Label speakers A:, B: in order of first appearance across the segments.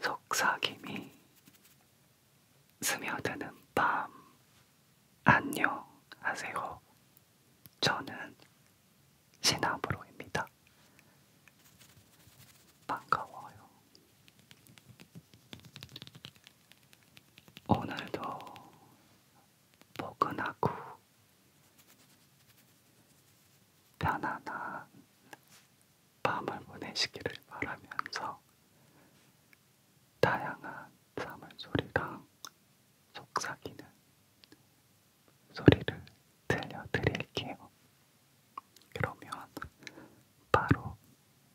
A: 속삭임이 스며드는 밤 안녕하세요. 저는 시나브로입니다. 반가워요. 오늘도 포근하고 편안한 밤을 보내시기를 바라면서 다양한 사물소리랑 속삭이는 소리를 들려드릴게요. 그러면 바로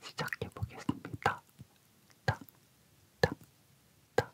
A: 시작해 보겠습니다. 딱, 딱, 딱.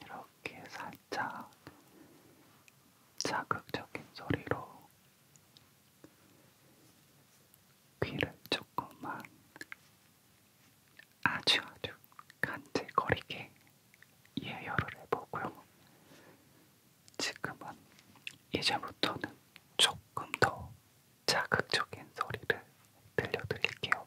A: 이렇게 살짝 자극적인 소리로 귀를 조금만 아주 아주 간질거리게 예열을 해보고요. 지금은 이제부터는 조금 더 자극적인 소리를 들려드릴게요.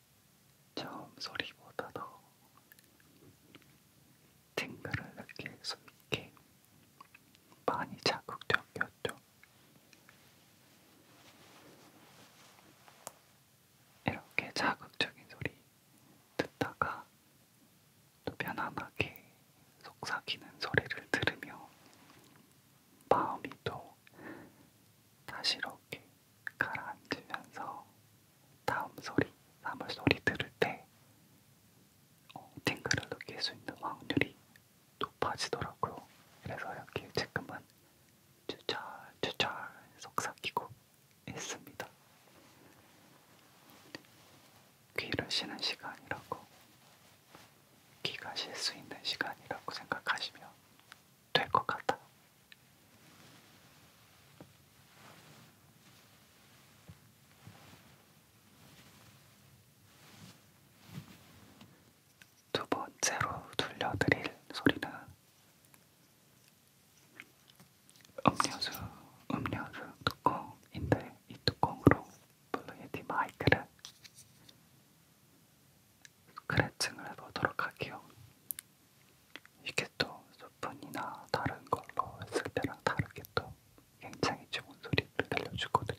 A: 처음 소리보다 더 팅글을 느낄 수 있게 많이 자극적이었죠. 이렇게 자극적인 소리 듣다가 또 편안하게 속삭이는 소리를 들으며 마음이 또 다시 이렇게 가라앉으면서 다음 소리, 사물 소리 들을 때 어, 팅글을 느낄 수 있는 확률이 높아지더라고요. 그래서 이렇게 지금은 추철 추철 속삭이고 있습니다. 귀를 쉬는 시간이라고 귀가 쉴수 있는 시간이라고 생각하시면 될 것 같아요. 두 번째로 들려드릴 소리는 음료수, 음료수 뚜껑인데 이 뚜껑으로 블루에디 마이크를 스크래칭을 해보도록 할게요. 이게 또 소폰이나 다른 걸로 했을 때랑 다르게 또 굉장히 좋은 소리를 들려주거든요.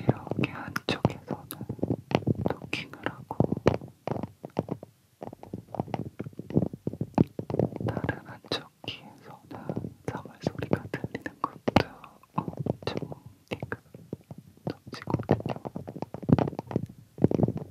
A: 이렇게 한쪽에서는 토킹을 하고 다른 한쪽 귀에서는 사물 소리가 들리는 것도 엄청 띵글 덮치거든요.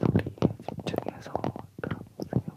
A: 소리에 집중해서 들어보세요.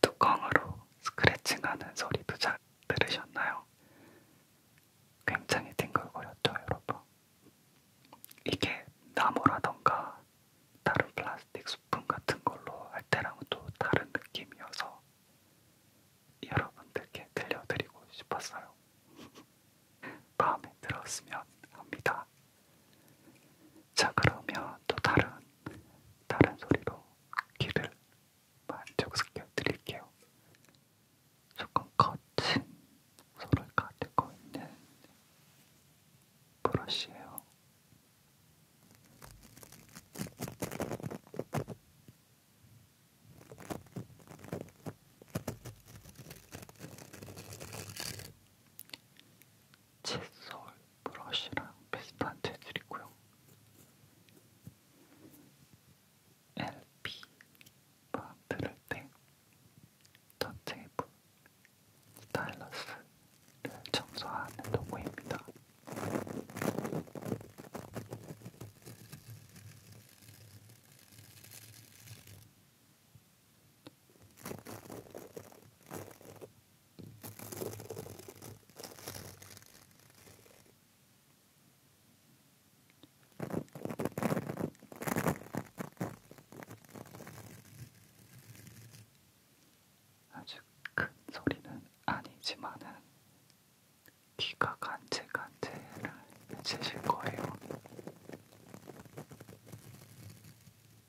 A: 뚜껑으로 스크래칭하는 소리도 잘 들으셨나요? 굉장히 뒹굴거렸죠, 여러분. 이게 나무라던가 다른 플라스틱 수품 같은 걸로 할 때랑은 또 다른 느낌이어서 여러분들께 들려드리고 싶었어요. 마음에 들었으면 합니다. 자, 그러면 또 다른 다른 소리로 귀를 만족시켜 드릴게요. 조금 거친 소를 가지고 있는 브러쉬예요. 칫솔 브러쉬랑 비슷한 재질이고요. LP 만들 때 터테이블 스타일러스를 청소하는 도구입니다. 아주 큰 소리는 아니지만은 귀가 간질간질해지실 거예요.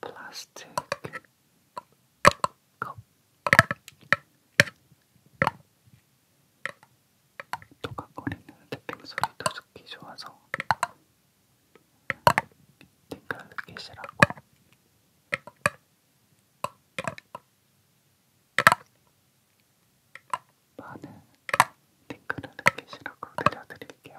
A: 플라스틱 컵 도각거리는 탭핑 소리도 듣기 좋아서 띵글 느끼시라고 많은 댓글을 남기시라고 들려드릴게요.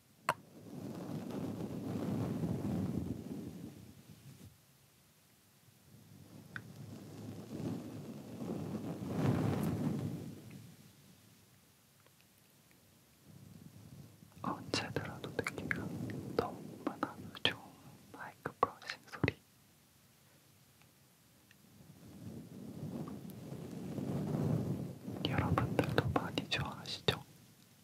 A: 언제 들어도 느낌이 너무나 좋은 마이크 브러싱 소리. 여러분들도 많이 좋아하시죠?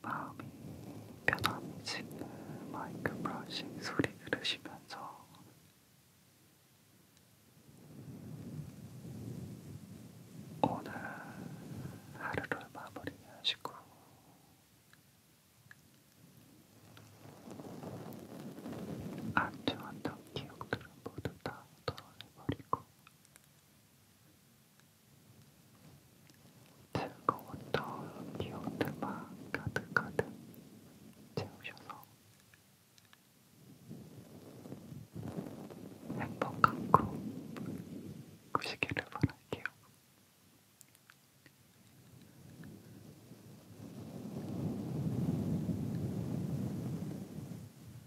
A: 마음이 편안해지는 마이크 브러싱 소리 들으시면서 오늘 하루를 마무리하시고 안 좋았던 기억들은 모두 다 털어내버리고 즐거웠던 기억들만 가득가득 채우셔서 행복한 꿈 꾸시기를 바랄게요.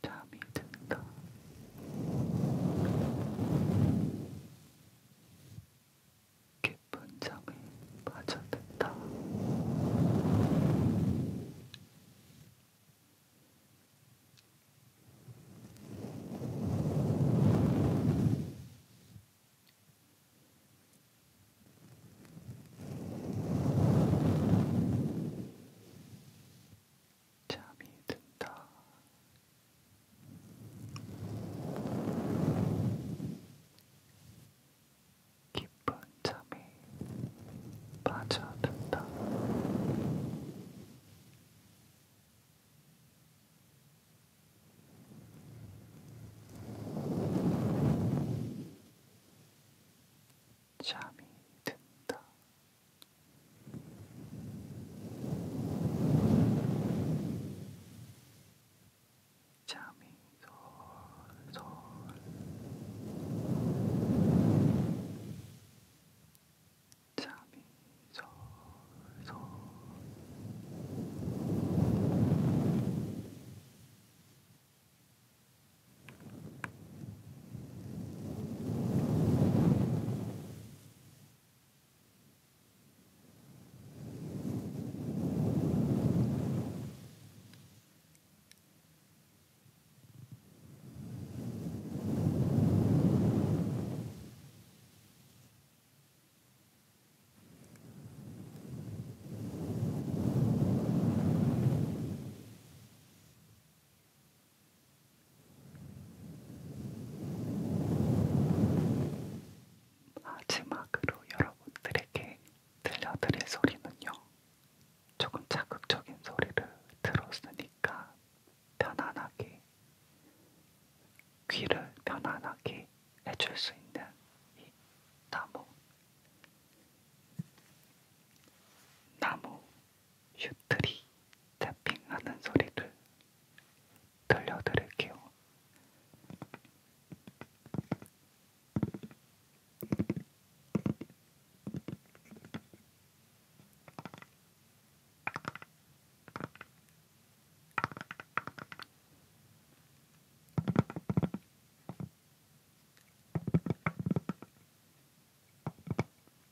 A: 잠이 든다. 깊은 잠에 빠져든다. 잠이 든다. 깊은 잠이 빠져든다. 잠이 든다. 잠이 솔솔 잠이 솔솔 마지막으로 여러분들에게 들려드릴 소리는요. 조금 자극적인 소리를 들었으니까 편안하게 귀를 편안하게 해줄 수 있는 이 나무 나무 슈트리 탭핑하는 소리를 들려드릴게요.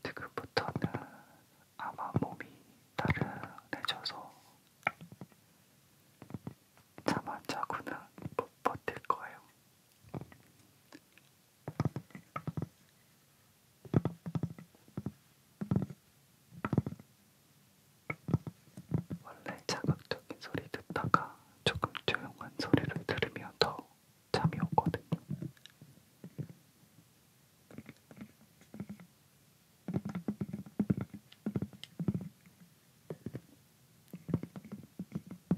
A: 지금부터는 아마 몸이 나른해져서 잠안 자고는 못 버틸 거예요. 원래 자극적인 소리 듣다가 조금 조용한 소리를 들으면 더 잠이 오거든요.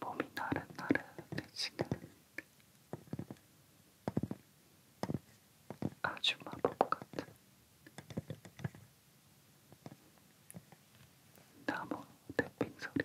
A: 몸이 나른나른해지는 아주 마법 같은 나무 대핑 소리.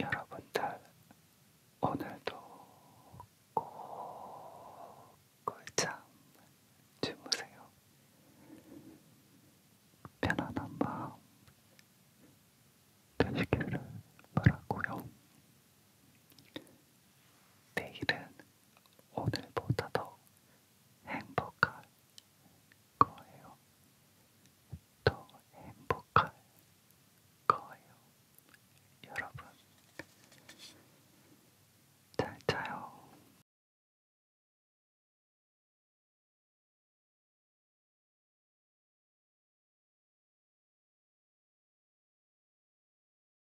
A: 여러분들 오늘도 꼭 꿀잠 주무세요. 편안한 마음 되시기를 바라고요. 내일은 오늘보다 더 행복할 거예요. 더 행복할 거예요. 여러분, 잘 자요.